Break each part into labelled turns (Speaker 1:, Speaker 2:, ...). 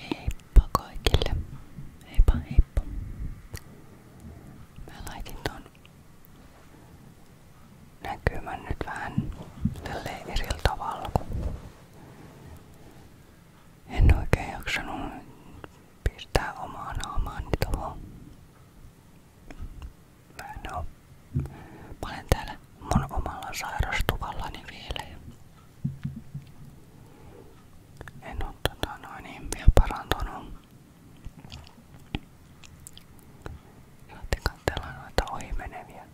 Speaker 1: Heippa kaikille. Heippa heippa. Mä laitin ton näkymän nyt vähän tälleen eri tavalla kun en oikein jaksanut pistää omaa naamaani niin tuohon no, mä olen täällä mun omalla sairastuvallani vielä. En oo tota noin niin vielä parantunut. Saatte katsella noita ohimeneviä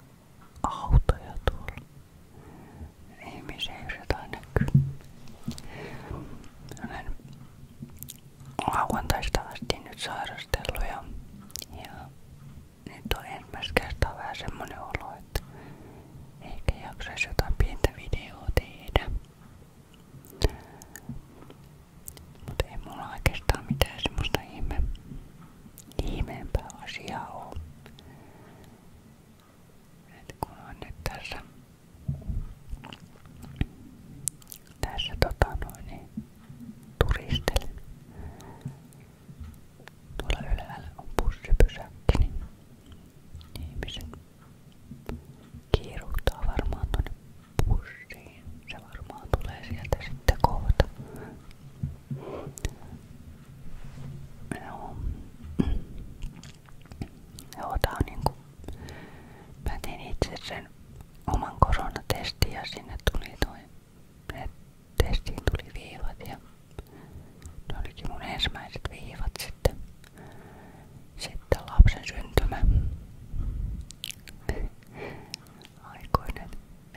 Speaker 1: autoja tuolla. Ihmisiä jos jotain näkyy. Olen lauantaista asti nyt sairastellut ja, ja nyt on ensimmäistä kertaa vähän semmonen olo, että ehkä jaksaisi jotain pientä videoa tehdä. Mutta ei mulla oikeastaan mitään semmoista ihme, ihmeempää asiaa oo. Et kun on nyt tässä, tässä tota noin, niin turistille. Tuolla ylhäällä on bussipysäkki, niin ihmiset kiiruhtaa varmaan tuonne bussiin. Se varmaan tulee sieltä sitten kohta. Joo. Joo, tää on niinku... Mä tein itse sen oman koronatestin ja sinne tuli toi testiin tuli viivat ja ne olikin mun ensimmäiset viivat sitten. Sitten lapsen syntymä. Aikoinen.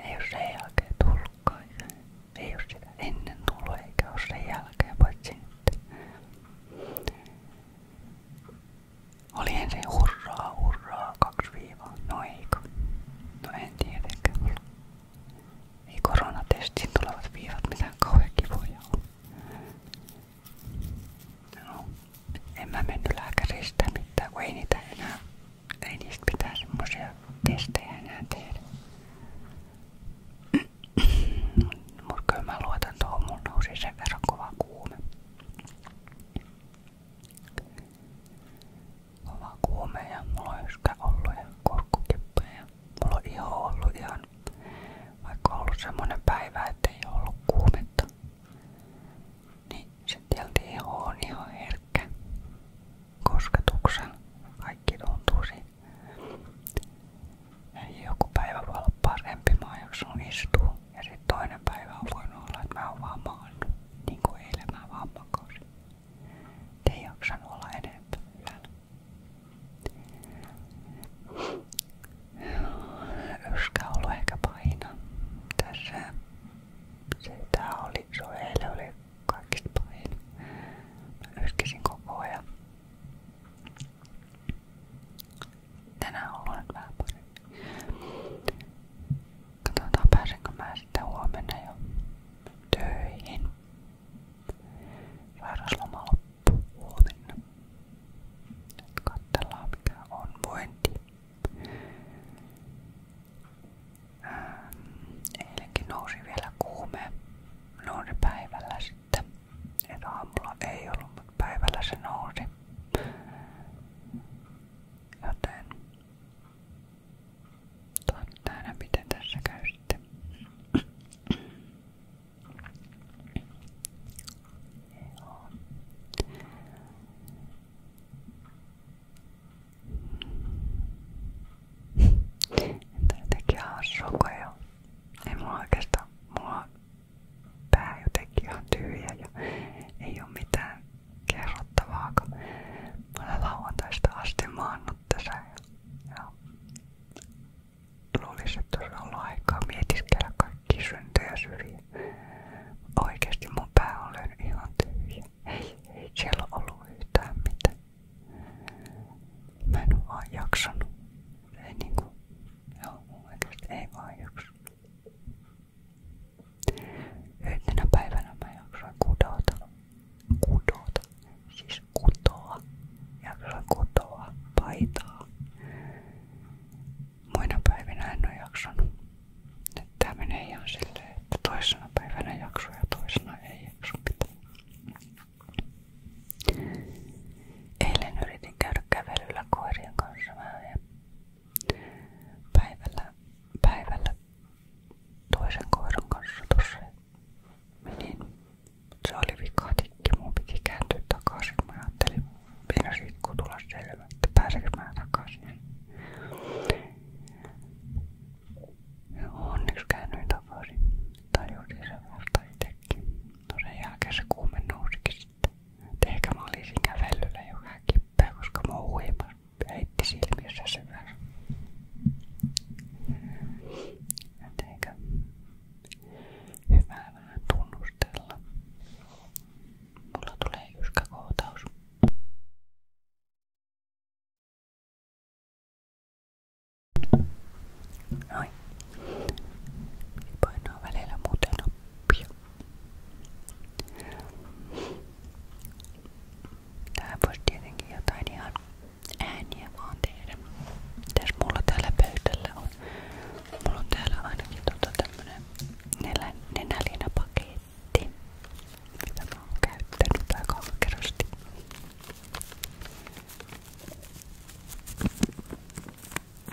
Speaker 1: Ei ole sen jälkeen tullutkaan. Ei ole sitä ennen tullut eikä ole sen jälkeen paitsi nyt. Oli ensin hurraa, hurraa, kaksi viivaa. No eikö? No en tietenkään. Ei koronatestin tulevat viivat mitään kauhean kivoja ole. No, en mä mennyt lääkäristä mitään, kun ei niitä enää, ei niistä pitää semmosia testejä enää tehdä. Mut kyllä mä luotan tuohon, mun nousi sen verran kova kuume. Oma kuume ja mulla on yskä ollut ja kurkkukippeä ja mulla on iho ollut ihan, vaikka on ollut Niin se tietysti on ihan herkkä kosketuksen. Kaikki tuntuu siinä. Joku päivä voi olla istuu ja sitten toinen päivä on voinut olla, että mä oon vaan maannut. Niin kuin eilen mä vaan makasin. Ei jaksanut olla enempää yöllä. Yskä on ollut ehkä paina tässä. Se tää oli, se oli, eilen oli kaikista pahin. Mä yskäsin koko ajan. Tänään ollaan vähän paremmin. Katsotaan pääsenkö mä sitten huomenna jo töihin. Sairausloma loppuu huomenna. Nyt katsellaan mikä on vointi. Ähm, eilenkin nousi vielä kuume. Nousi päivällä sitten. Et aamulla ei ollut, mutta päivällä se nousi. Joten toivottaa aina miten tässä käy sitten. Joo. Entä jotenkin hassuko jo? Ei mulla oikeastaan, mulla pää jotenkin ihan tyhjä ja ei ole mitään kerrottavaa, kun mä olen lauantaista asti maannut tässä ja, ja luulisin, että olisi ollut aikaa mietiskellä kaikki syntejä syrjiä. Oikeesti mun pää on löynyt ihan tyhjä. Ei, ei siellä ollut yhtään mitään. Mä en oo vaan jaksanut. Ei niinku, joo, oikeesti ei vaan jaksanut. Yhtenä päivänä mä jaksoin kudota. Kudota. Siis kutoa. Jaksoin kutoa paitaa. Muina päivinä en ole jaksanut. Nyt tää menee ihan silleen, että toisena päivänä jakso ja toisena ei jakso mitään. Eilen yritin käydä kävelyllä koirien kanssa vähän ja päivällä, päivällä toisen Se oli vikatikki, mun piti kääntyä takaisin. Mä ajattelin vielä siitä, kun tulla selvä, että pääsekö mä onneksi käännyin takaisin. Tajusin sen vasta itsekin. No sen jälkeen nousikin Ehkä mä olisin kävellyllä jo kippää, koska mä huimas heitti silmissä sen verran. hyvää tunnustella. Mulla tulee yskäkohtaus. Noin. Painaa välillä muuten oppia. Tähän voisi tietenkin jotain ihan ääniä vaan tehdä. Mitäs mulla täällä pöydällä on? Mulla on täällä ainakin tota tämmönen nenä, nenälinapaketti, mitä mä oon käyttänyt aika ankerasti.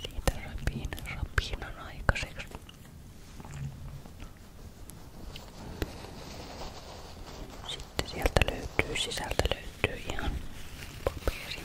Speaker 1: Siitä rapinan rapinan aikaiseksi. Sitten sieltä löytyy, sisältä löytyy ihan paperi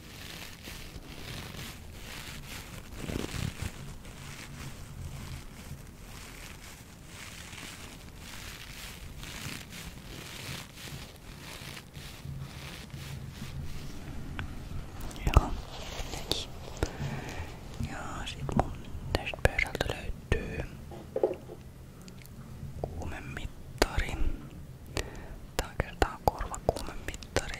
Speaker 1: Joo, teki. Ja sit mun tästä pöydältä löytyy kuumemittari. Tää on kertaa korvakuumemittari.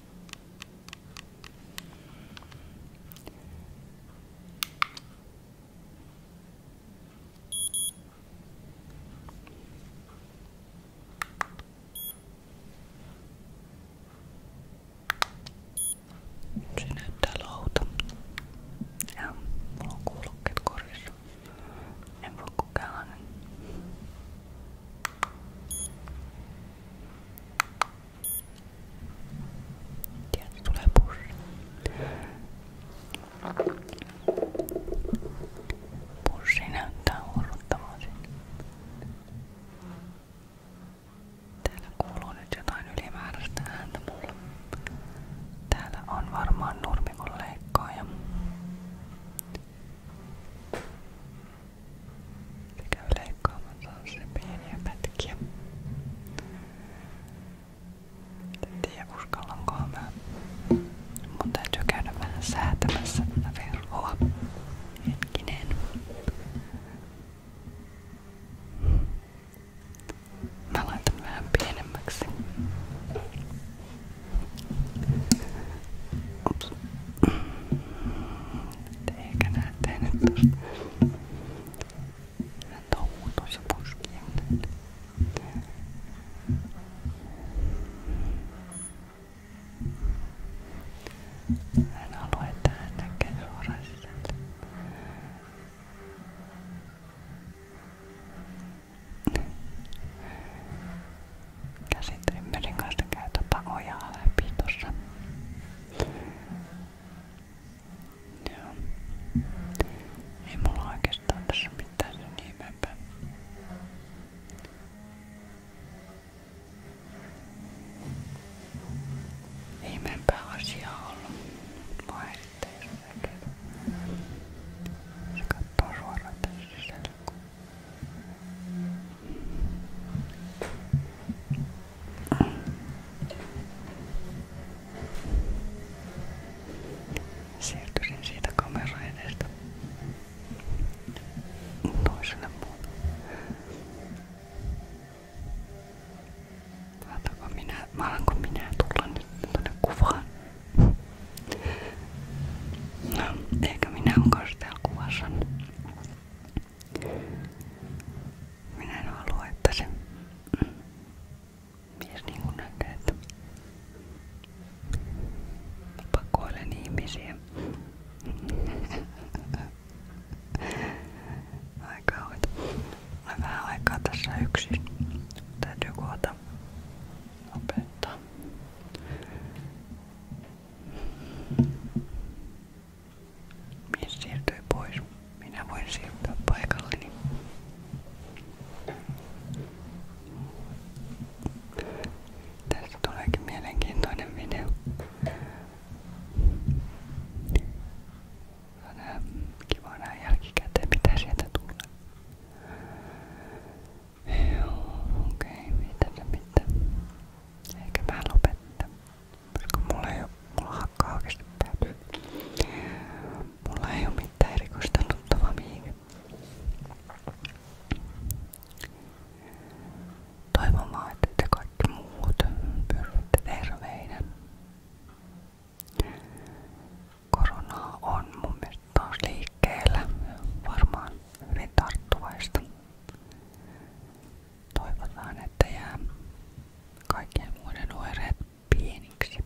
Speaker 1: Se näyttää louta. Ja mulla on kuulokkeet korissa. En voi kukaan. Tieltä tulee purre. Pussi näyttää hurruttavan sinne. Täällä kuuluu nyt jotain ylimääräistä ääntä mulle. Täällä on varmaan nurmikon leikkaaja. Se käy leikkaamassa sen pieniä pätkiä. En tiedä uskallankohan mä. Mun täytyy käydä vähän säätämässä tätä verhoa. Hetkinen. Mä laitan vähän pienemmäksi. Ups tos. Eikä näette nyt tosta. Hän touhuu tuossa puskien. Hän haluaa, että hän näkee suoraan sisälle. Käsitrimmerin kanssa käy tuota ojaa läpi tuossa. Joo. Ei mulla oikeastaan tässä mitään sen ihmeempää. Ihmeempää asiaa ollut. Mua erittäin syväkin. Se kattoo suoraan tässä sisällä. Siirtyisin siitä kamera edestä toiselle puolelle. Alanko minä, alanko minä tulla nyt tonne kuvaan? No, eikä minä onkaan täällä kuvassa. Minä en halua, että se mies niin kuin näkee, että pakoilen ihmisiä. Aika hoito. Olen vähän aikaa tässä yksin. Täytyy kohta opettaa. Mies siirtyi pois. Minä voin siirtyä paikalleni. Tästä tuleekin mielenkiintoinen video. On kiva nähdä jälkikäteen, mitä sieltä tulee. Joo, okei, okay, mitä se mitään. Eikä mä Koska mulla ei oo, mulla hakkaa oikeesti Mulla ei oo mitään erikoista tuttavaa mihin. Toivon vaan, että te kaikki Korona on mun mielestä Varmaan hyvin tarttuvaista. Toivotaan, että jää kaikkien muiden pieniksi.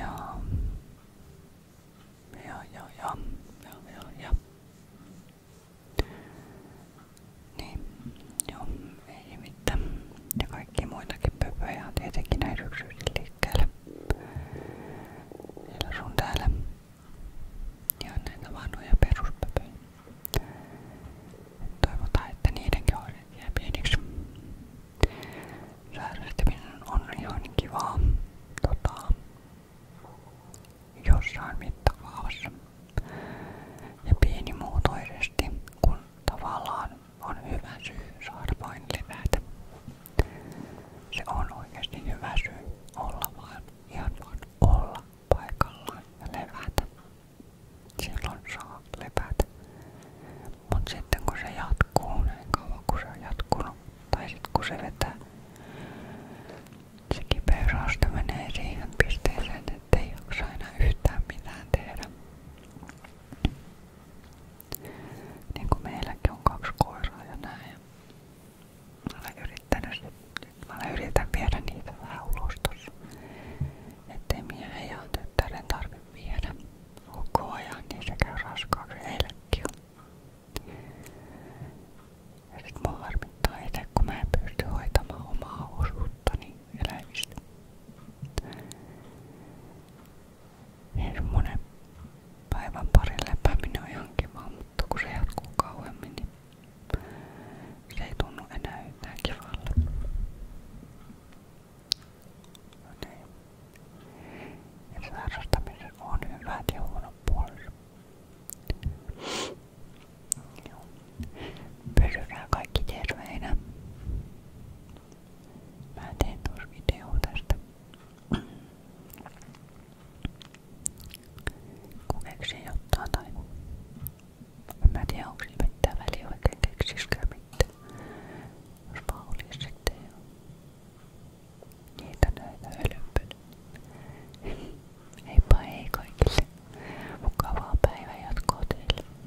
Speaker 1: Joo. Joo, joo, joo. Joo, joo, Niin, joo, ei mitään. kaikki muitakin pöpöjä on tietenkin näin liikkeelle. Ja näitä vanhoja peruspöpöjä. Toivotaan, että niidenkin oireet jää pieniksi. Sairastaminen on ihan kivaa tota, jossain mittakaavassa ja pienimuotoisesti, kun tavallaan on hyvä syy saada vain levätä. Se on oikeasti hyvä syy olla vaan, ihan vaan olla paikallaan ja levätä. Silloin saa levätä. Mut sitten kun se jatkuu, niin kauan kun se on jatkunut, tai sitten kun se vetää, se kipeysaste menee siihen pisteeseen, ettei jaksa enää yhtään mitään tehdä. Niin kuin meilläkin on kaksi koiraa ja näin. Mä olen yrittänyt, nyt mä olen yritän viedä niitä vähän ulos tossa. Ettei miehen ja tyttären tarvitse viedä koko ajan, niin se käy raskaaksi heillekin on. Ja sit mua harmittaa itse, kun mä en pysty hoitamaan omaa osuuttani eläimistä. Semmonen päivän parin lepääminen on ihan kiva, mutta kun se jatkuu kauemmin, niin se ei tunnu enää yhtään kivalle. No niin. Että harrastamisen on hyvät ja huonot puolensa. Pysykää kaikki terveinä. Mä teen tuossa video tästä Keksin jotain tai... En mä tiedä onko siinä mitään väliä oikein keksiskään mitään. Jos vaan olisi sitten jo niitä näitä hölynpölyjä. Heippa hei kaikille. Mukavaa päivän jatkoa teille.